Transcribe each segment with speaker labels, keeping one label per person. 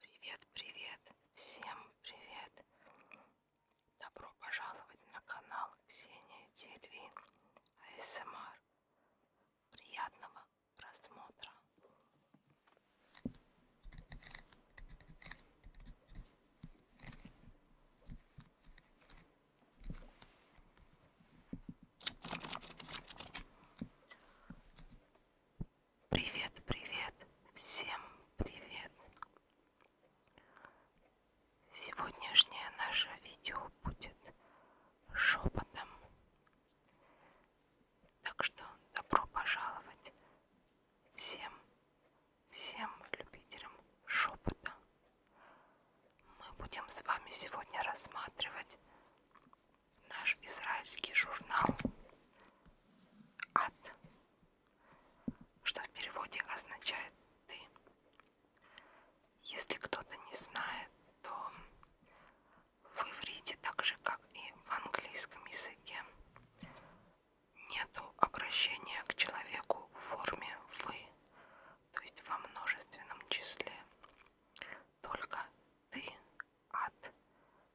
Speaker 1: Привет, привет, всем привет! Добро пожаловать на канал Ксения Дельвин АСМР. Приятного просмотра! Привет, привет, всем привет! Сегодняшнее наше видео будет шепотом. Так что добро пожаловать всем, всем любителям шепота. Мы будем с вами сегодня рассматривать наш израильский журнал «Ад», что в переводе означает «ты». Если кто-то не знает, то в иврите, так же как и в английском языке, нету обращения к человеку в форме «вы», то есть во множественном числе, только «ты» от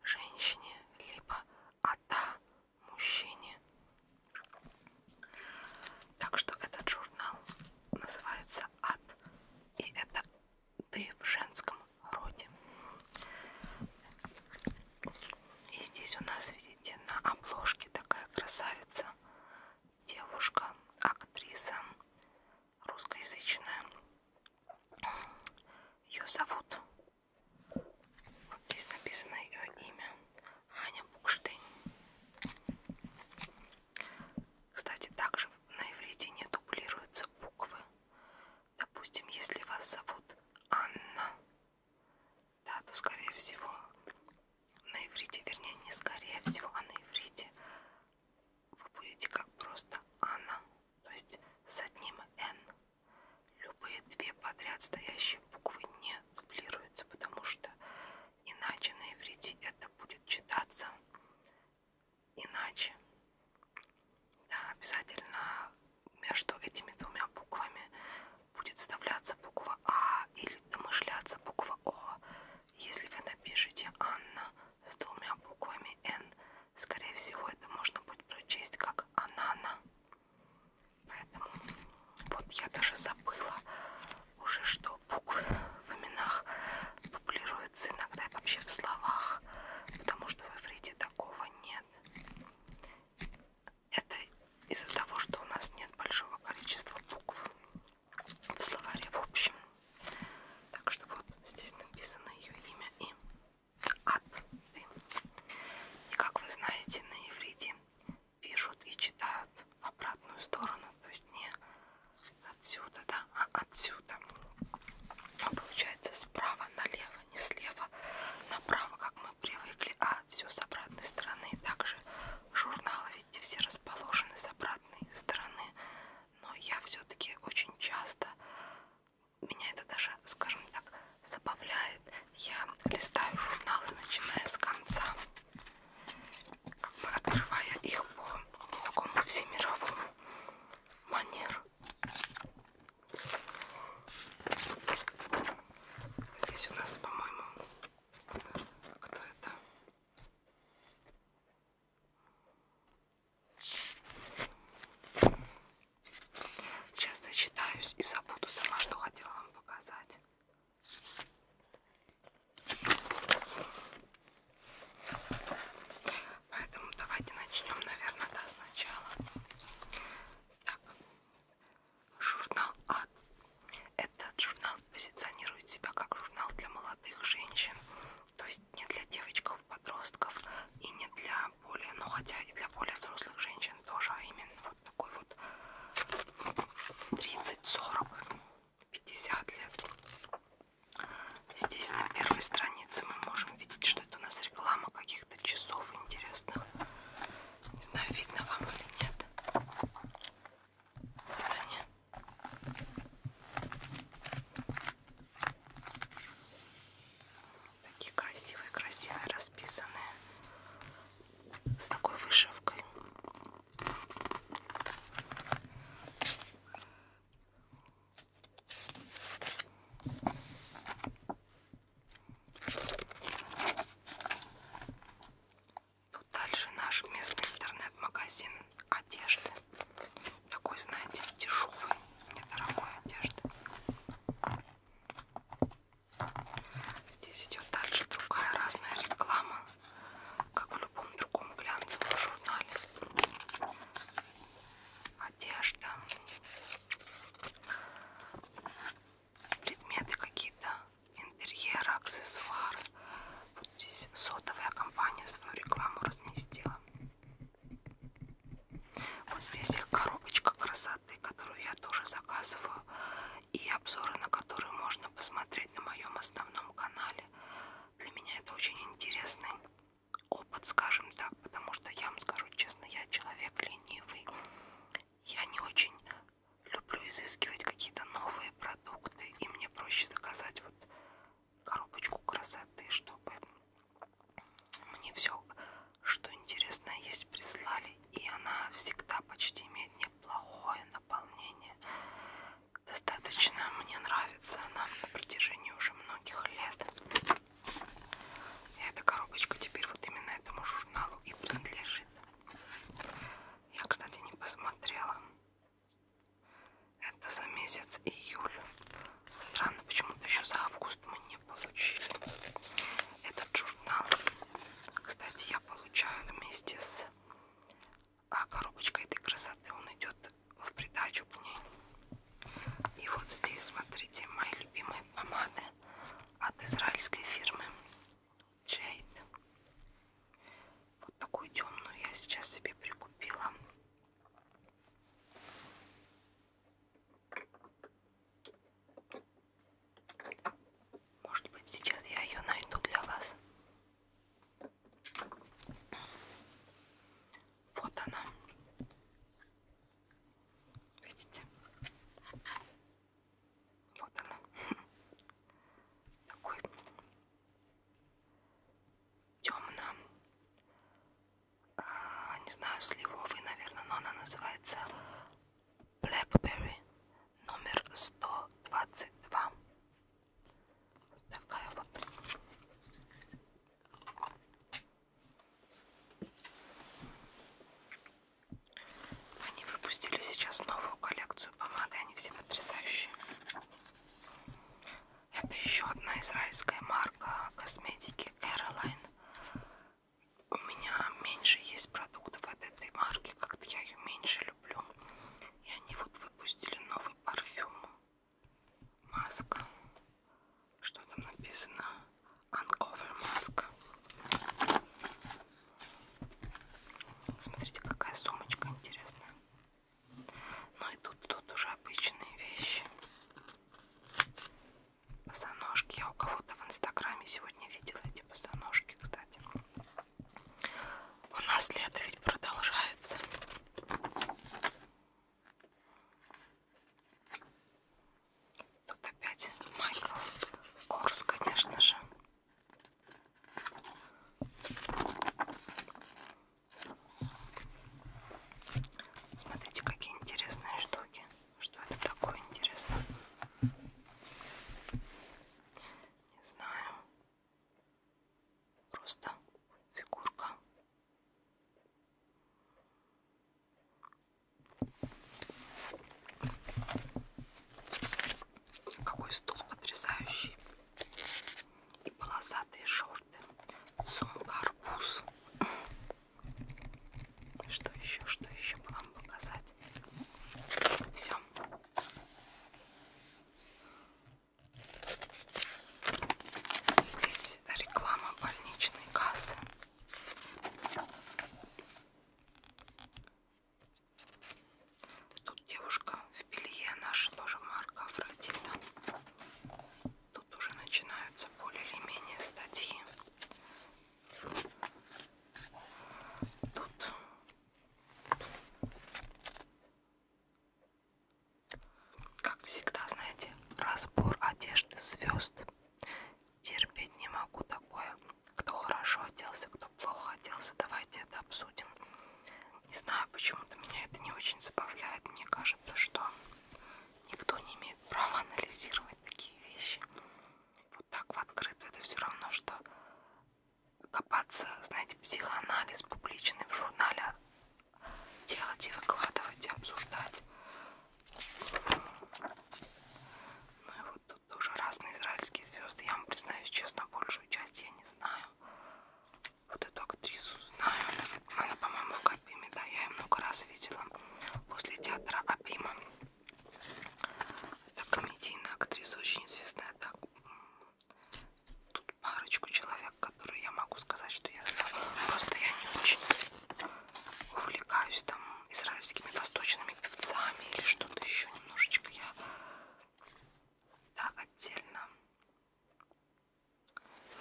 Speaker 1: женщине, либо ата мужчине. Так что этот журнал называется «Ад», и это «ты» в женском роде. И здесь у нас, видите, на обложке такая красавица, девушка, актриса русскоязычная. Ее зовут, вот здесь написано ее имя, Аня Букштейн. Кстати, также на иврите не дублируются буквы. Допустим, если вас зовут Анна, да, то скорее всего на иврите, вернее, не скорее всего, а на иврите вы будете как просто Анна, то есть с одним Н. Любые две подряд стоящие буквы не дублируются, потому что иначе на иврите это будет читаться иначе. Да, обязательно между этими двумя буквами будет вставляться буква А или домышляться буква О. Если вы напишете Анна, с двумя буквами Н. Скорее всего, это можно будет прочесть как «Анана». Поэтому вот я даже забыла уже, что буквы в именах дублируются иногда и вообще в словах, потому что в иврите такого нет. Это из-за того, что у нас нет большого количества букв в словаре в общем. Так что вот здесь написано ее имя и от. И как вы знаете, на иврите пишут и читают в обратную сторону, то есть не отсюда, да, а отсюда. А получается справа налево, не слева направо, как мы привыкли, а все с обратной стороны. Также журналы, видите, все расположены с обратной стороны но я все-таки очень часто, меня это даже, скажем так, забавляет. Я листаю журналы, начиная с конца, как бы открывая их по такому всемировому манеру. Здесь у нас, по-моему, кто это? Сейчас зачитаюсь и забуду сама, что хотела вам показать. Поэтому давайте начнем, наверное, да, сначала. Так, журнал А. Этот журнал позиционирует себя как журнал для молодых женщин. То есть есть не для девочков, подростков и не для более, ну хотя и для более взрослых женщин тоже, а именно вот такой вот 30, 40, 50 лет. Здесь на первой странице мы можем видеть, что это у нас реклама каких-то часов интересных. Не знаю, видно вам или нет. Да, нет. Такие красивые, красивые, расписанные с такой вышивкой. Тут дальше наш местный интернет-магазин одежды такой, знаете, дешевой, недорогой одежды. Здесь идет также другая разная реклама, как в любом другом глянцевом журнале. Одежда, предметы какие-то, интерьеры, аксессуары. Вот здесь сотовая компания свою рекламу разместила. Вот здесь их коробочка красоты, которую я тоже заказываю. И обзоры, на которые можно посмотреть на моем основном канале. Для меня это очень интересный опыт, скажем так. Потому что я вам скажу честно, я человек ленивый. Я не очень люблю изыскивать какие-то новые продукты. И мне проще заказать вот коробочку красоты, чтобы мне все, что интересно есть, прислали. И она всегда почти имеет неплохое наполнение. Достаточно мне нравится она на протяжении уже многих лет. И эта коробочка теперь вот именно этому журналу и принадлежит. Я, кстати, не посмотрела, это за месяц июль. Странно, почему-то еще за август мы не получили этот журнал. Кстати, я получаю вместе с а коробочкой этой красоты. Он идет в придачу к ней. И вот здесь, смотрите, мои любимые помады от израильской фирмы Jade. Вот такую темную я сейчас себе прикупила. Может быть, сейчас я ее найду для вас. Вот она. Видите? Вот она. Такой темно. А, не знаю, сливовый, наверное, но она называется Blackberry номер 122. Такая вот. Они выпустили сейчас новую коллекцию помады, они все потрясающие. Это еще одна израильская марка косметики Caroline. У меня меньше есть продуктов от этой марки, как-то я ее меньше люблю. И они вот выпустили новый парфюм. Маска. Что там написано? Uncover маска. Смотрите, какая сумочка интересная. Ну и тут, тут уже обычные вещи. Босоножки. Я у кого-то в инстаграме сегодня видела эти босоножки, кстати. У нас лето ведь продолжается. Тут опять Майкл Корс, конечно же. Смотрите, какие интересные штуки. Что это такое интересно? Не знаю. Просто фигурка. Какой стул потрясающий и полосатые шорты, сумка арбуз. Что еще, что еще бы вам показать? Все. Здесь реклама больничной кассы. Тут девушка в белье, наша тоже марка Афродита. Тут уже начинаются более или менее статьи. Тут как всегда, знаете, разбор одежды звезд. Терпеть не могу такое. Кто хорошо оделся, кто плохо оделся. Давайте это обсудим. Не знаю, почему-то меня это не очень забавляет. Мне кажется, что никто не имеет права анализировать такие вещи. Вот так в открытую. Это все равно, что копаться, знаете, психоанализ публичный в журнале а делать и выкладывать, и обсуждать. Ну и вот тут тоже разные израильские звезды. Я вам признаюсь честно, большую часть я не знаю. Вот эту актрису знаю. Она, она по-моему, в Капиме, да, я ее много раз видела. После театра Апима. Это комедийная актриса, очень известная. Так, тут парочку человек, которые я могу сказать, что я знаю. Просто я не очень увлекаюсь там израильскими восточными певцами или что-то еще немножечко я да, отдельно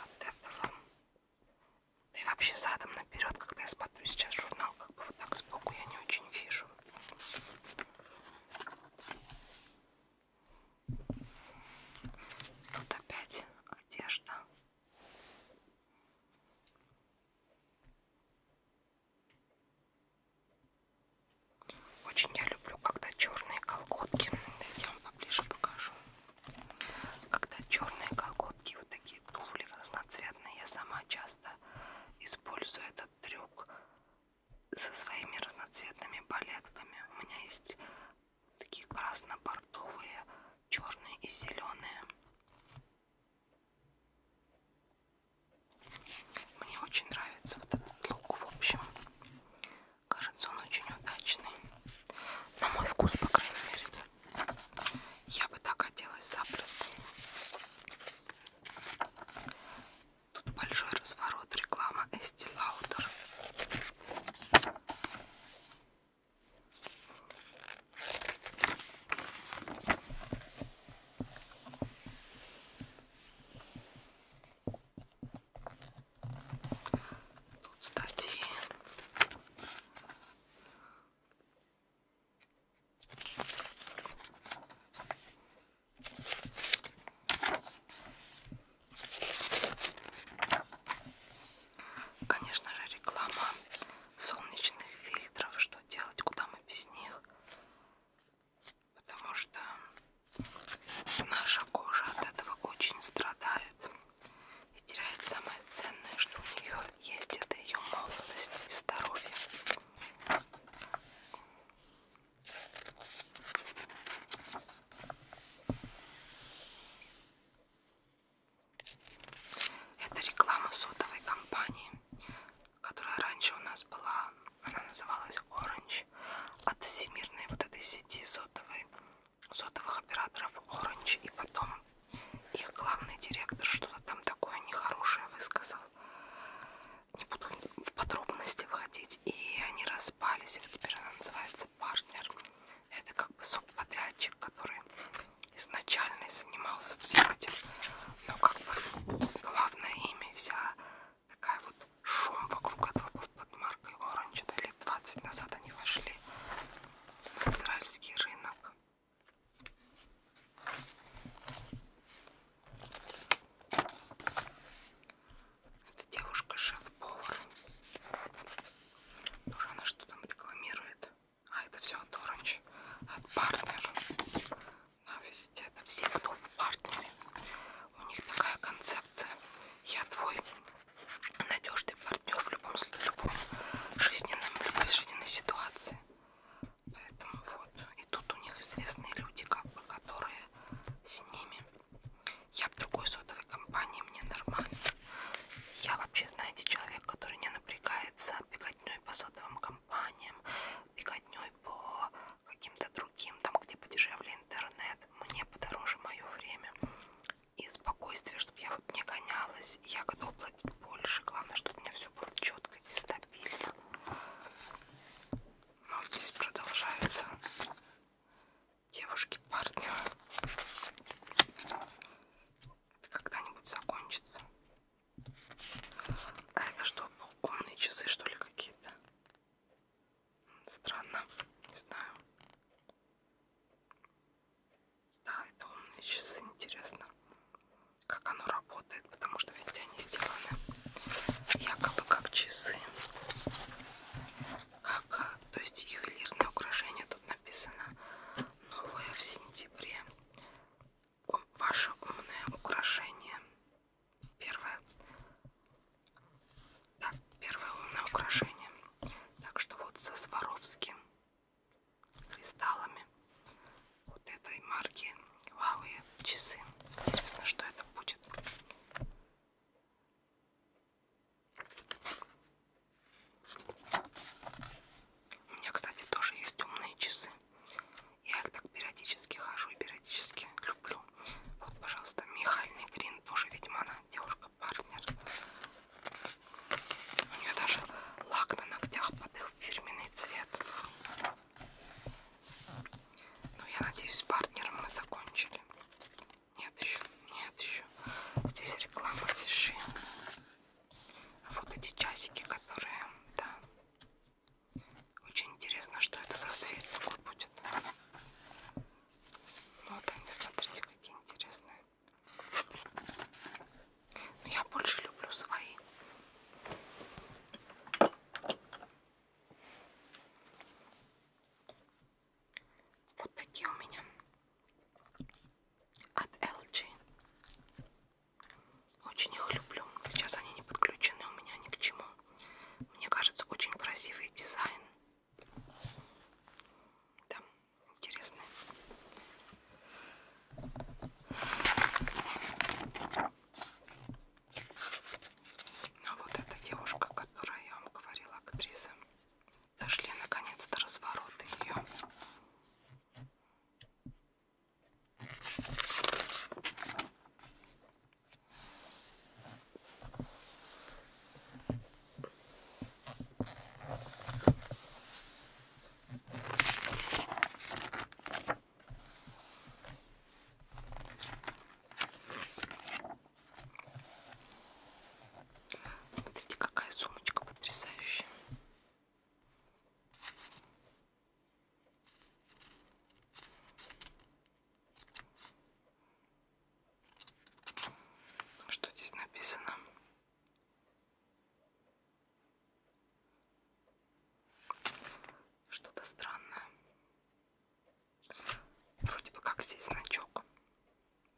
Speaker 1: от этого. Да и вообще задом наперед, когда я смотрю сейчас журнал, как бы вот так сбоку я не очень вижу. Тут опять одежда. Очень я люблю, когда черные колготки. Я вам поближе покажу. Когда черные колготки, вот такие туфли разноцветные, я сама часто использую этот трюк со своими разноцветными балетками. У меня есть такие красно-бордовые, черные и зеленые. Мне очень нравится вот этот лук, в общем. Кажется, он очень удачный. На мой вкус, по крайней мере. Я бы так оделась запросто. Тут большой разворот, реклама Estee Lauder. Тут статьи. Конечно же, реклама солнечных фильтров, что делать, куда мы без них потому что наша кожа от этого очень страдает и теряет самое ценное, что у нее есть, это ее молодость и здоровье. Это реклама сотовой компании которая раньше у нас была, она называлась Orange, от всемирной вот этой сети сотовой, сотовых операторов Orange, и потом их главный директор что-то там такое нехорошее высказал. Не буду в подробности входить, и они распались, и теперь она называется партнер. Это как бы субподрядчик, который изначально занимался всем этим, но как бы главное имя, вся такая вот шум вокруг этого был под маркой Orange. Это лет 20 назад они вошли на израильский рынок. Это девушка шеф-повар. Тоже она что там рекламирует. А это все от Orange, от Partner на везде, это все, кто в партнере. У них такая концепция. Я твой надежный партнер в любом, в любом жизненном, в любой жизненной ситуации. Поэтому вот. И тут у них известные люди, как бы, которые с ними. Я в другой сотовой компании, мне нормально. Я вообще, знаете, человек, который не напрягается беготней по сотовым компаниям, беготней по каким-то другим, там, где подешевле интернет, мне подороже мое время и спокойствие, чтобы я вот не гонялась. Я готова платить больше. Главное, чтобы у меня все было четко и стабильно. Но ну, вот здесь продолжается девушки-партнеры. Это когда-нибудь закончится. А это что, умные часы, что ли, какие-то? Странно, не знаю. Да, это умные часы, интересно, как оно работает, потому что ведь они сделаны якобы как часы. Как, э, то есть ювелирное украшение тут написано новое в сентябре ваше умное украшение. Первое. Да, первое умное украшение. Так что вот со Сваровским кристаллами вот этой марки Huawei часы. Интересно, что это будет. У меня, кстати, тоже есть умные часы. Я их так периодически хожу и периодически люблю. Вот, пожалуйста, Михальный Грин, тоже ведьмана, девушка-партнер. У нее даже лак на ногтях под их фирменный цвет. Ну, я надеюсь, с партнером мы закончили. Нет еще, нет еще. Здесь реклама фиши. А вот эти часики, которые, да, очень интересно, что это за цвет такой будет. Ну, вот они, смотрите, какие интересные. Но ну, я больше люблю свои. Вот такие у меня от LG. Очень их люблю. Сейчас они не подключены у меня ни к чему. Мне кажется, очень красивый дизайн. Да, интересный. Ну, а вот эта девушка, о которой я вам говорила, актриса. Дошли наконец до разворота ее. Смотрите, какая сумочка потрясающая. Что здесь написано? Что-то странное. Вроде бы как здесь значок.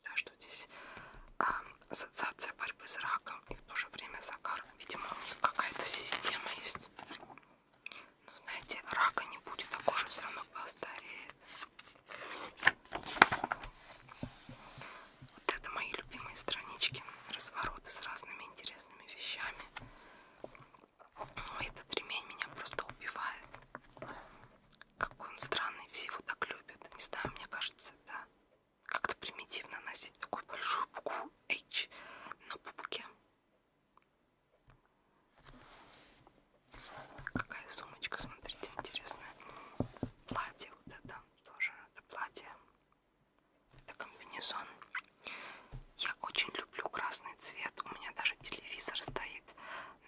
Speaker 1: Да, что здесь а, ассоциация борьбы с раком и в то же время загар. Видимо, какая-то система есть. Но ну, знаете, рака не будет, а кожа все равно постареет. Вот это мои любимые странички. Развороты с разными интересными вещами. Этот ремень меня просто убивает. Какой он странный, все его так любят. Не знаю, мне кажется, да. Как-то примитивно носить такую большую букву H на пупке. Какая сумочка, смотрите, интересная. Платье вот это тоже. Это платье. Это комбинезон. Я очень люблю красный цвет. У меня даже телевизор стоит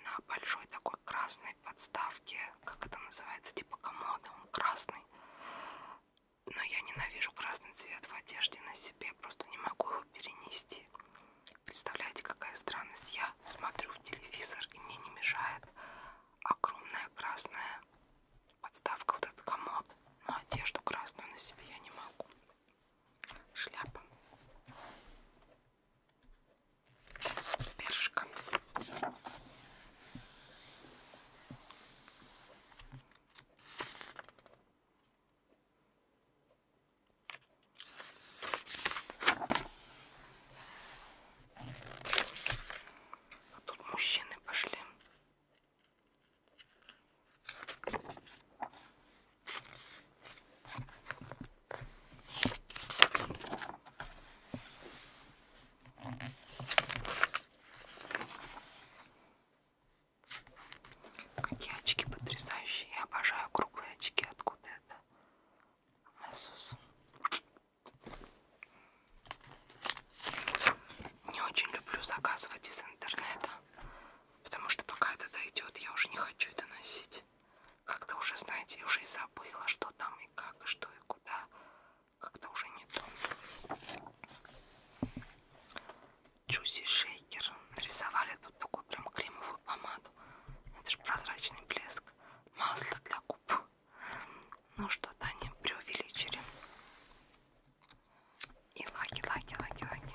Speaker 1: на большой такой красной подставке. Как это называется? Типа комода. Он красный но я ненавижу красный цвет в одежде на себе, просто не могу его перенести. Представляете, какая странность. Я смотрю в телевизор, и мне не мешает огромная красная подставка, вот этот комод. Но одежду красную на себе я не могу. Шляпа. Першка. А тут мужчины пошли. Какие очки потрясающие. Я обожаю круглые очки. Откуда это? Asus. Не очень люблю заказывать из интернета. Потому что пока это дойдет, я уже не хочу это носить. Как-то уже, знаете, уже и забыла, что там и как, и что и куда. Как-то уже не то. Джуси Шейкер. Нарисовали тут такую прям кремовую помаду. Это же прозрачный блеск. Масло для губ. Ну что-то они преувеличили. И лаки, лаки, лаки, лаки.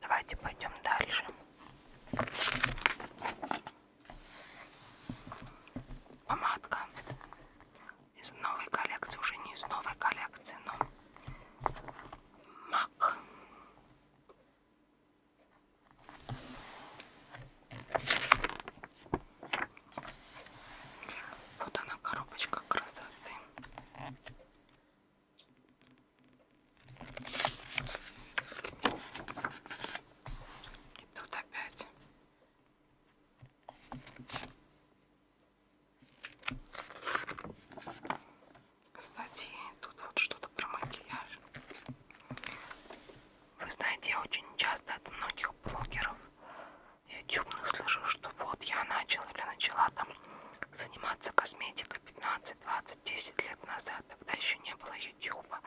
Speaker 1: Давайте пойдем дальше. Помадка из новой коллекции, уже не из новой коллекции, но мак. Вот она коробочка красоты. И тут опять. Кстати, тут вот что-то про макияж. Вы знаете, я очень часто от многих блогеров ютубных слышу, что вот я начал или начала там заниматься косметикой 15, 20, 10 лет назад. Тогда еще не было ютуба.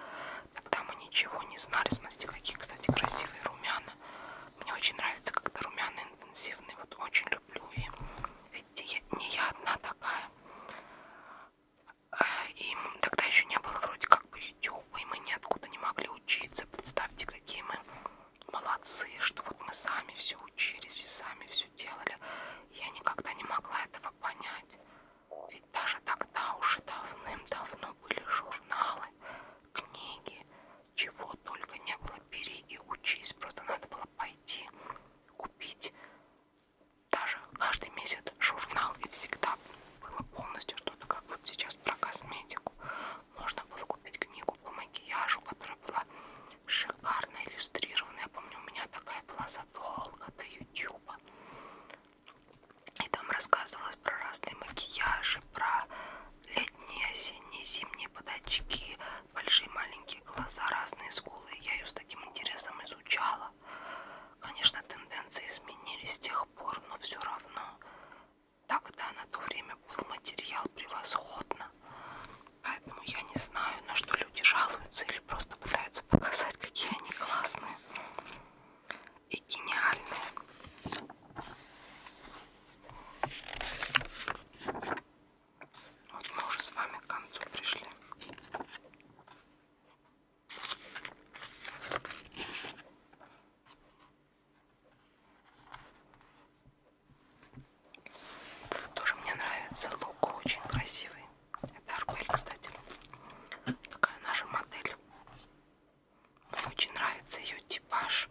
Speaker 1: Тогда мы ничего не знали. Смотрите, какие, кстати, красивые румяна. Мне очень нравится, когда румяна интенсивные. Вот очень люблю. И видите, я, не я одна такая. Э, и тогда еще не было вроде как бы ютуба, и мы ниоткуда не могли учиться. Представьте, какие мы молодцы, что вот мы сами все учились и сами все делали. Я никогда не могла этого понять. Ведь даже тогда уже давным-давно были журналы, книги, чего только не было. Бери и учись. Просто надо было пойти купить даже каждый месяц журнал и всегда было полностью что-то, как вот сейчас про косметику. Можно было купить книгу по макияжу, которая была шикарно иллюстрированная. Я помню, у меня такая была задолго до Ютуба. И там рассказывалось про разные макияжи, про летние, осенние, зимние подачки, большие, маленькие глаза, разные скулы. Я ее с таким интересом изучала. Конечно, тенденции изменились с тех тех пор, но все равно тогда на то время был материал превосходно. Поэтому я не знаю, на что люди жалуются или просто пытаются показать, какие они классные и гениальные. Вот мы уже с вами к концу пришли. Это тоже мне нравится. Лук очень красивый. Это Арбель, кстати. Такая наша модель. Мне очень нравится ее типаж.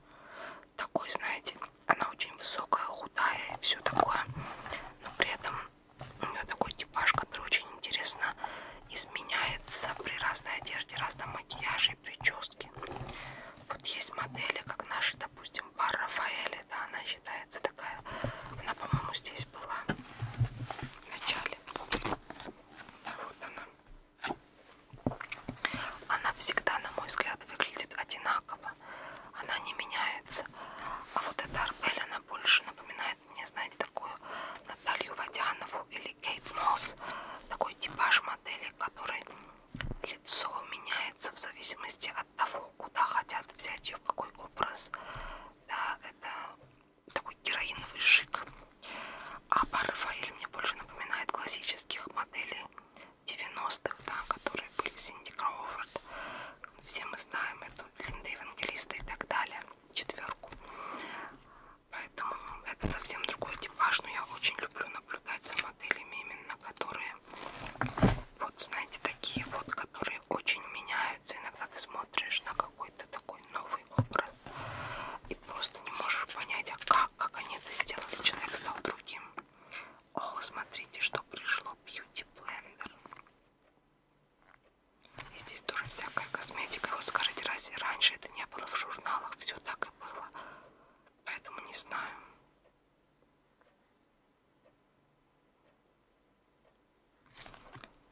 Speaker 1: Такой, знаете, она очень высокая, худая и все такое. Но при этом у нее такой типаж, который очень интересно изменяется при разной одежде, разном макияже и прическе. Вот есть модели, как наша, допустим, пара Рафаэля, да, она считается такая. Она, по-моему, здесь была в начале. Да, вот она. Она всегда, на мой взгляд, выглядит одинаково. Она не меняется. А вот эта Арбель, она больше напоминает напоминает мне, знаете, такую Наталью Водянову или Кейт Мосс. Такой типаж модели, который лицо меняется в зависимости от того, куда хотят взять ее, в какой образ. Да, это такой героиновый шик. А Рафаэль мне больше напоминает классических моделей 90-х, да, которые были Синди Кроуфорд. Все мы знаем эту Линда Евангелиста и так далее. Четверку. Поэтому это совсем другой типаж, но я очень люблю наблюдать за моделями, именно которые, вот знаете, такие вот, которые очень меняются. Иногда ты смотришь на какой-то такой новый образ и просто не можешь понять, а как, как они это сделали. Человек стал другим. О, смотрите, что пришло. Beauty Blender. И здесь тоже всякая косметика. Вот скажите, разве раньше это не было в журналах? Все так и было. Поэтому не знаю.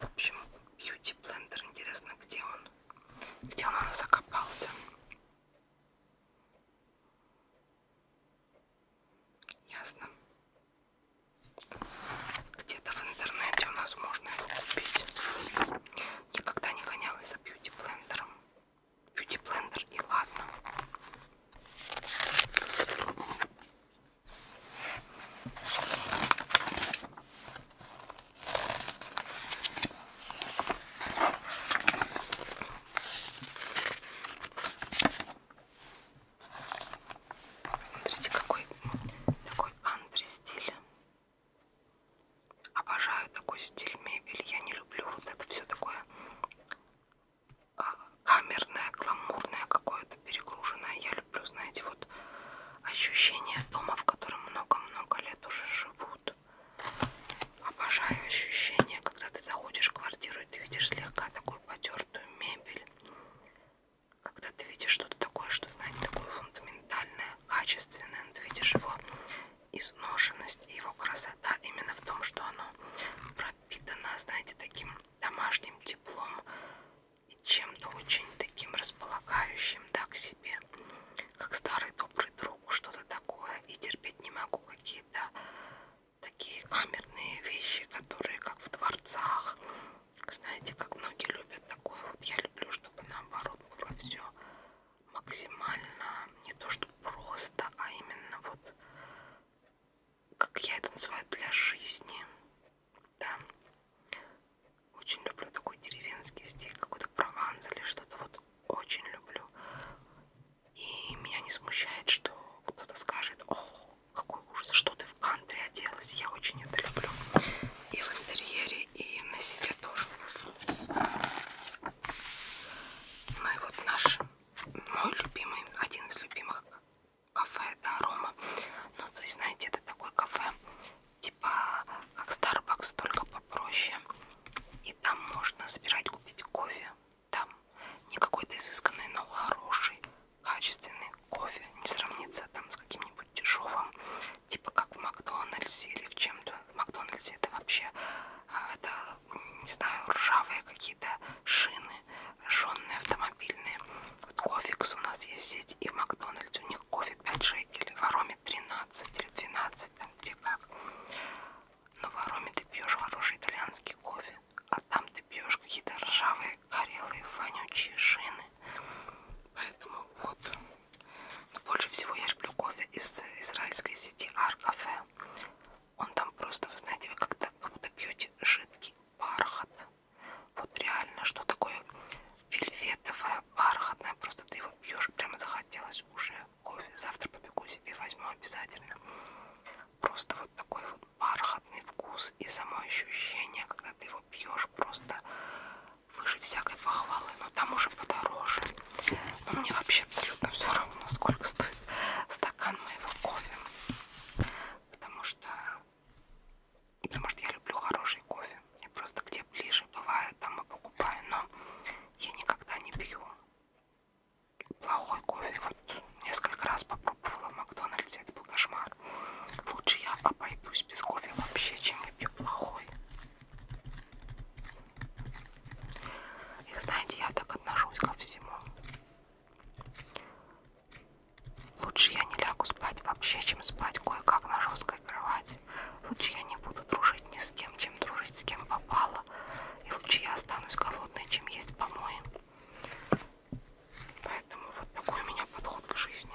Speaker 1: В общем, бьюти блендер. Интересно, где он? Где он у нас закопался? Ясно. Где-то в интернете у нас можно его купить. Никогда не гонялась за бьюти-блендером. Бьюти-блендер и ладно. Смотрите, какой такой антри стиль. Обожаю такой стиль мебели. Я не люблю вот это все такое а, камерное, гламурное какое-то, перегруженное. Я люблю, знаете, вот ощущение дома, в котором много-много лет уже живут. Обожаю ощущение, когда ты заходишь в квартиру и ты видишь слегка такую потертую мебель, когда ты видишь что-то такое, что, знаете, такое фундаментальное, качественное, но ты видишь его изношенность и его красота именно в том, что оно пропитано, знаете, таким домашним теплом и чем-то очень таким располагающим, да, к себе, как старый добрый друг, что-то такое, и терпеть не могу какие-то такие камерные вещи, которые как в дворцах, знаете, как многие любят такое, вот я люблю, чтобы наоборот было все максимально, не то что просто, а именно вот, как я это называю, для жизни, да. Очень люблю такой деревенский стиль, какой-то прованс или что-то, вот очень люблю. И меня не смущает, что кто-то скажет, о, какой ужас, что ты в кантри оделась. Я очень это люблю. И в интерьере, и на себе тоже. Ну и вот наш, мой любимый, один из любимых кафе, это Арома. Ну, то есть, знаете, это такое кафе, типа, как Starbucks, только попроще. И там можно собирать, купить кофе. Там не какой-то изысканный, но хороший, качественный кофе не сравнится там с каким-нибудь дешевым, типа как в Макдональдсе или в чем-то. В Макдональдсе это вообще, а, это, не знаю, ржавые какие-то шины, жженные автомобильные. Вот кофекс у нас есть сеть, и в Макдональдсе у них кофе 5 шекелей, в Ароме 13 или 12, там где как. Но в Ароме ты пьешь хороший итальянский кофе, а там ты пьешь какие-то ржавые горелые вонючие шины. Поэтому вот. Но больше всего я люблю кофе из израильской сети Аркафе. Он там просто, вы знаете, вы как-то как будто пьете жидкий бархат. Вот реально, что такое вельветовое, бархатное. Просто ты его пьешь, прямо захотелось уже кофе. Завтра побегу себе, возьму обязательно. Просто вот такой вот бархатный вкус и само ощущение, когда ты его пьешь просто выше всякой похвалы, но там уже подороже. Но мне вообще абсолютно все равно, сколько стоит стакан моего кофе. Потому что, потому что я люблю хороший кофе. Я просто где ближе бывает, там и покупаю. Но я никогда не пью плохой кофе. Вот несколько раз попробовала в Макдональдсе. Это был кошмар. Лучше я обойдусь без кофе вообще, чем выпью плохой. И знаете, я так отношусь ко всему. Лучше я не лягу спать вообще, чем спать кое-как на жесткой кровати. Лучше я не буду дружить ни с кем, чем дружить с кем попало. И лучше я останусь голодной, чем есть помои. Поэтому вот такой у меня подход к жизни.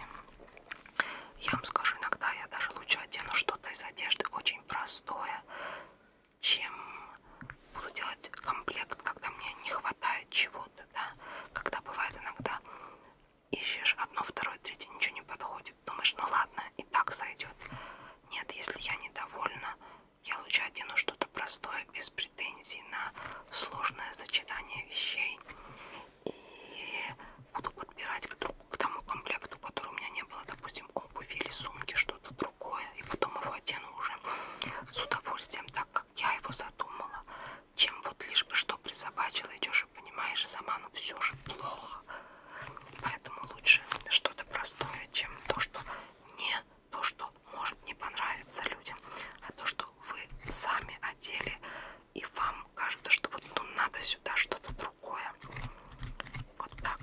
Speaker 1: Я вам скажу, иногда я даже лучше одену что-то из одежды очень простое, чем буду делать комплект, когда мне не хватает чего-то, да. Когда бывает иногда ищешь одно, второе, третье, ничего не подходит. Думаешь, ну ладно, и так сойдет. Нет, если я недовольна, я лучше одену что-то простое, без претензий на сложное сочетание вещей. И буду подбирать к, друг, к тому комплекту, который у меня не было, допустим, обуви или сумки, что-то другое. И потом его одену уже с удовольствием, так как я его задумала. Чем вот лишь бы что присобачила, идешь и понимаешь, сама, ну все же плохо. Поэтому лучше что-то простое, чем то, что не то, что можно не понравится людям, а то, что вы сами одели и вам кажется, что вот ну, надо сюда что-то другое. Вот так.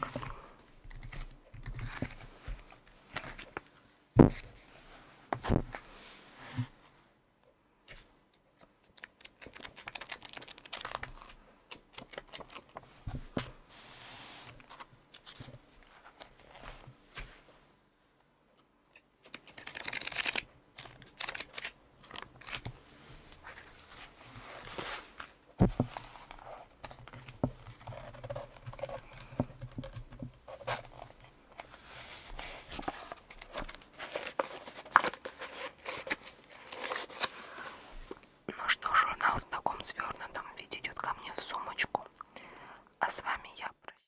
Speaker 1: Ну что, журнал в таком свернутом виде идет ко мне в сумочку. А с вами я прощаюсь.